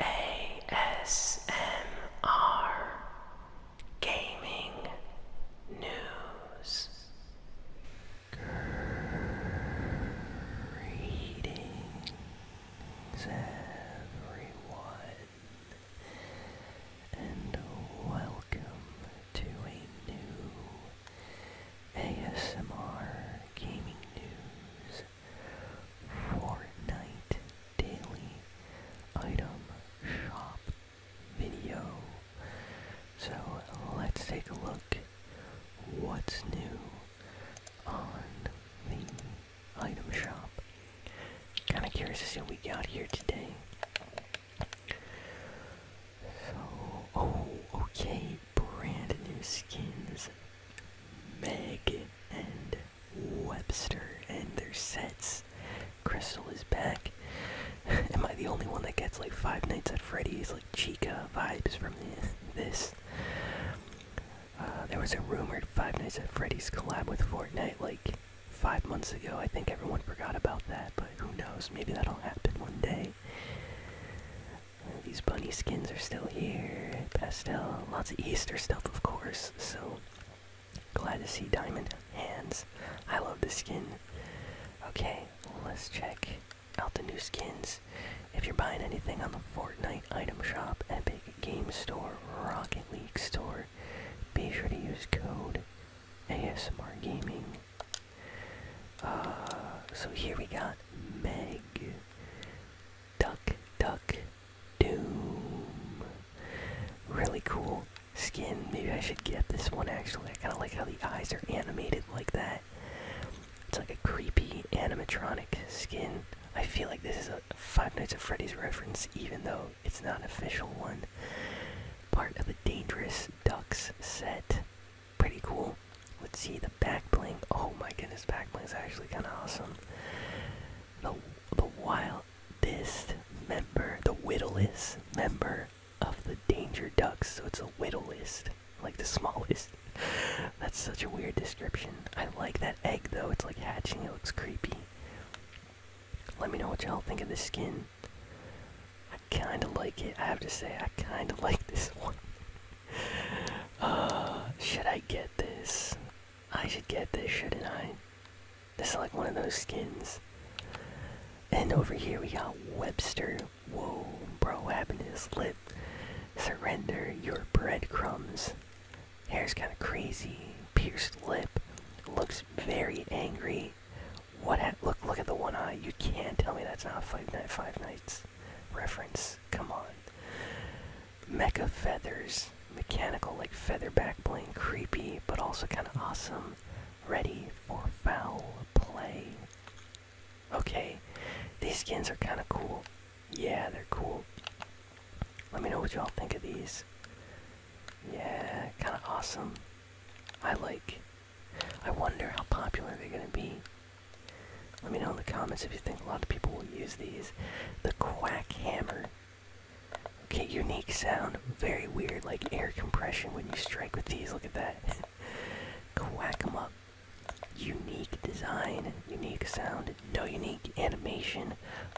ASMR Gaming News Greetings, everyone, and welcome to a new ASMR Gaming News Fortnite Daily Item Shop video. So let's take a look what's new on the item shop. Kind of curious to see what we got here today. So, oh, okay, brand new skins. Meg and Webster and their sets. Crystal is back. Am I the only one that gets like Five Nights at Freddy's, like Chica vibes from this? this. Uh, there was a rumored Five Nights at Freddy's collab with Fortnite like five months ago. I think everyone forgot about that, but who knows? Maybe that'll happen one day. these bunny skins are still here. Pastel, lots of Easter stuff, of course. So glad to see Diamond Hands. I love this skin. Okay, let's check out the new skins. If you're buying anything on the Fortnite item shop, Epic Game Store, Rocket League Store, be sure to use code ASMR Gaming. Uh, so here we got Meg, Duck Duck Doom. Really cool skin. Maybe I should get this one actually. I kind of like how the eyes are animated like that. It's like a creepy animatronic skin. I feel like this is a Five Nights at Freddy's reference, even though it's not an official one. Part of the Dangerous Ducks set. Pretty cool. Let's see the back bling. Oh my goodness, back bling is actually kind of awesome. The the wildest member, the whittlest member of the danger ducks, so it's a whittle list, like the smallest. That's such a weird description. I like that egg though, it's like hatching, it looks creepy. Let me know what y'all think of this skin. I kinda like it, I have to say, I kinda like this one. Uh, should I get this? I should get this, shouldn't I? This is like one of those skins. And over here we got Webster, Whoa, bro, happiness lit. Surrender your breadcrumbs. Hair's kind of crazy. Pierced lip. Looks very angry. What? Look, look at the one eye. You can't tell me that's not Five Night Five Nights reference. Come on. Mecha feathers, mechanical like feather back bling, creepy but also kind of awesome. Ready for foul play. Okay, these skins are kind of cool. Yeah, they're cool. Let me know what y'all think of these. Yeah, kind of awesome. I like. I wonder how popular they're gonna be. Let me know in the comments if you think a lot of people will use these. The quack hammer. Okay, unique sound. Very weird, like air compression when you strike with these. Look at that. quack 'em up unique design, unique sound, no unique animation,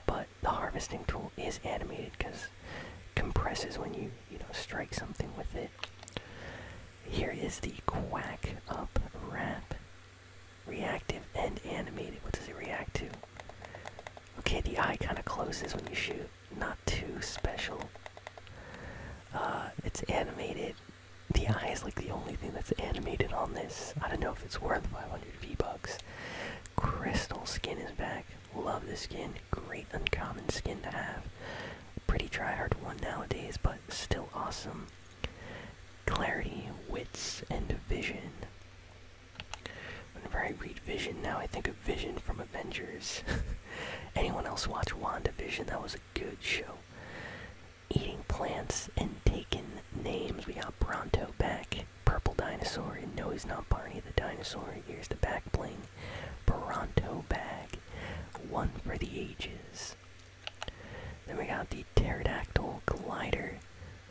but the harvesting tool is animated because compresses when you you know strike something with it. Here is the quack up rap, reactive and animated. What does it react to? Okay, the eye kind of closes when you shoot. Not too special. Uh, it's animated. The eye is like the only thing that's animated on this. I don't know if it's worth 500 V-Bucks. Crystal skin is back. Love the skin. Great uncommon skin to have. Pretty try-hard one nowadays, but still awesome. Clarity, wits, and vision. Whenever I read Vision now, I think of Vision from Avengers. Anyone else watch Wanda Vision? That was a good show. Eating plants and taking names. We got Bronto back, Purple Dinosaur, and no, he's not Barney the Dinosaur. Here's the back bling. Bronto back, One for the ages. Then we got the Pterodactyl Glider.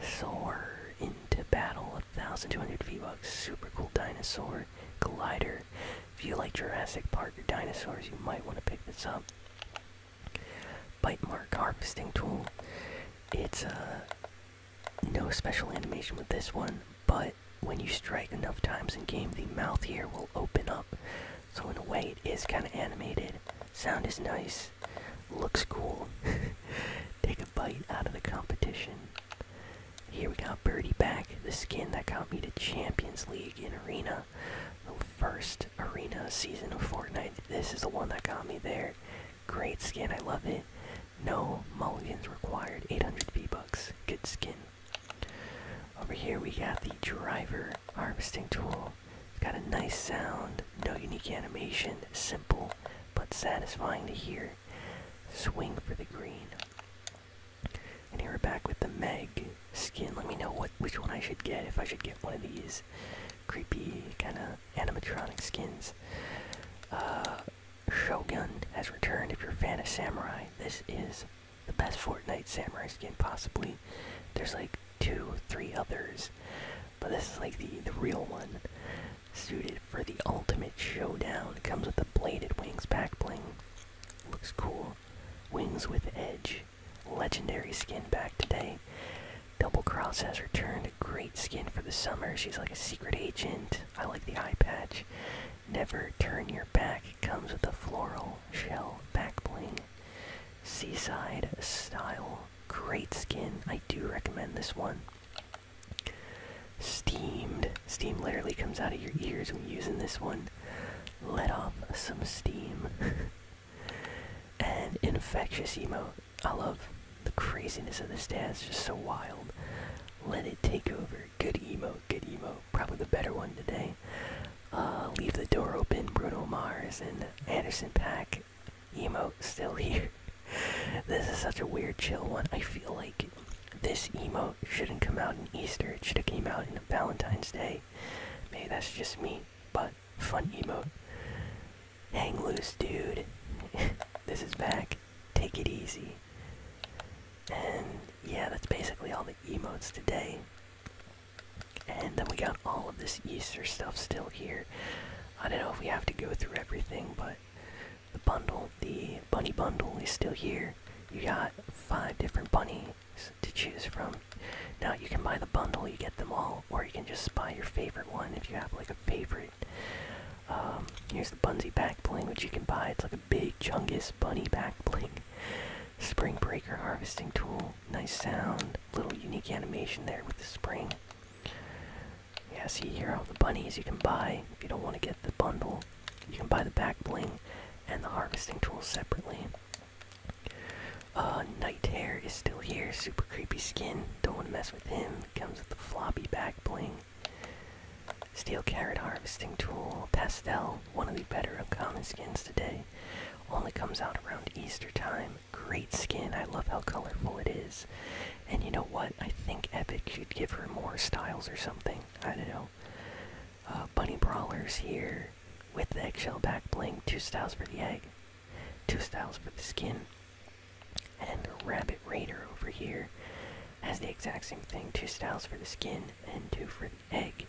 Soar into battle. A 1,200 V-Bucks. Super cool dinosaur. Glider. If you like Jurassic Park or dinosaurs, you might want to pick this up. Bite mark harvesting tool. It's uh, no special animation with this one, but when you strike enough times in game, the mouth here will open up. So in a way, it is kind of animated. Sound is nice. Looks cool. Take a bite out of the competition. Here we got Birdie back, the skin that got me to Champions League in Arena. The first Arena season of Fortnite. This is the one that got me there. Great skin, I love it. No mulligans required. 800 V-Bucks. Good skin. Over here we got the driver harvesting tool. got a nice sound, no unique animation, simple but satisfying to hear. Swing for the green. And here we're back with the Meg skin. Let me know what which one I should get. If I should get one of these creepy kind of animatronic skins. Uh, Shogun has returned. If you're a fan of samurai, this is the best Fortnite samurai skin possibly. There's like two, three others, but this is like the the real one. Suited for the ultimate showdown. It comes with the bladed wings back bling. Looks cool. Wings with Edge, legendary skin back today. Double Cross has returned, a great skin for the summer. She's like a secret agent. I like the eye patch. Never Turn Your Back comes with a floral shell back bling. Seaside style, great skin. I do recommend this one. Steamed. Steam literally comes out of your ears when using this one let off some steam. and infectious emo. I love the craziness of this dance, just so wild. Let it take over. Good emo, good emo. Probably the better one today. Uh, leave the door open, Bruno Mars and Anderson Pack. Emo still here. this is such a weird chill one. I feel like this emo shouldn't come out in Easter. It should have came out in Valentine's Day. Maybe that's just me, but fun emo. Hang loose, dude. this is back. Take it easy. And yeah, that's basically all the emotes today. And then we got all of this Easter stuff still here. I don't know if we have to go through everything, but the bundle, the bunny bundle is still here you got five different bunnies to choose from. Now you can buy the bundle, you get them all, or you can just buy your favorite one if you have like a favorite. Um, here's the Bunsy back bling, which you can buy. It's like a big Chungus bunny back bling. Spring breaker harvesting tool, nice sound, little unique animation there with the spring. Yeah, see here all the bunnies you can buy if you don't want to get the bundle. You can buy the back bling and the harvesting tool separately. Uh, Night Hair is still here. Super creepy skin. Don't want to mess with him. Comes with the floppy back bling. Steel Carrot Harvesting Tool. Pastel. One of the better common skins today. Only comes out around Easter time. Great skin. I love how colorful it is. And you know what? I think Epic should give her more styles or something. I don't know. Uh, bunny brawlers here with the eggshell back bling. Two styles for the egg, two styles for the skin. And Rabbit Raider over here has the exact same thing two styles for the skin and two for the egg.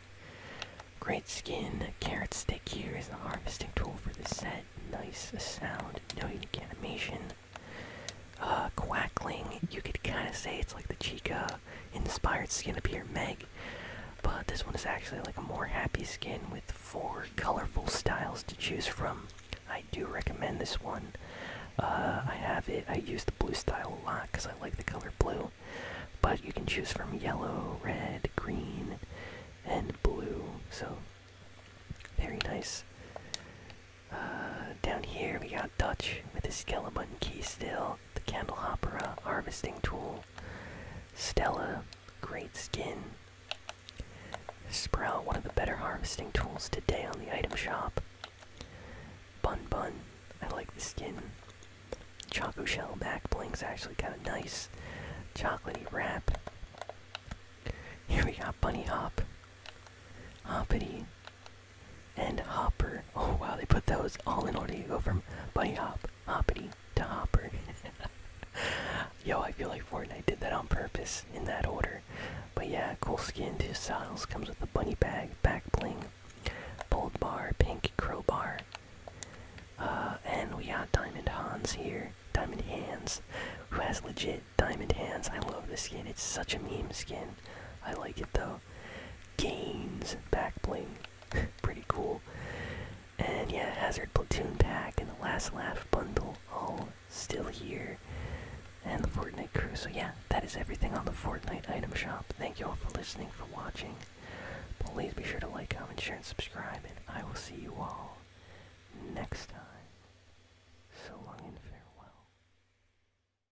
Great skin, carrot stick here is the harvesting tool for the set. Nice sound, no unique animation. Uh, quackling, you could kind of say it's like the Chica inspired skin up here, Meg. But this one is actually like a more happy skin with four colorful styles to choose from. I do recommend this one. Uh, I have it. I use the blue style a lot because I like the color blue. But you can choose from yellow, red, green, and blue. So very nice. Uh, down here we got Dutch with his Skellabun key still out the candelabra uh, harvesting tool stella great skin sprout one of the better harvesting tools today on the item shop bun bun i like the skin choco shell back blink's actually got a nice chocolatey wrap here we got bunny hop hoppity and Hopper. Oh wow, they put those all in order. You go from bunny hop, hoppity to hopper. Yo, I feel like Fortnite did that on purpose in that order. But yeah, cool skin Two styles comes with a bunny bag, back bling, bold bar, pink crowbar. Uh, and we got Diamond Hans here, Diamond Hands, who has legit diamond hands. I love this skin. It's such a meme skin. I like it though. Gains back bling. Pretty cool. And yeah, Hazard Platoon Pack and the Last Laugh Bundle all still here. And the Fortnite crew. So yeah, that is everything on the Fortnite item shop. Thank you all for listening, for watching. Please be sure to like, comment, share, and subscribe, and I will see you all next time. So long and farewell.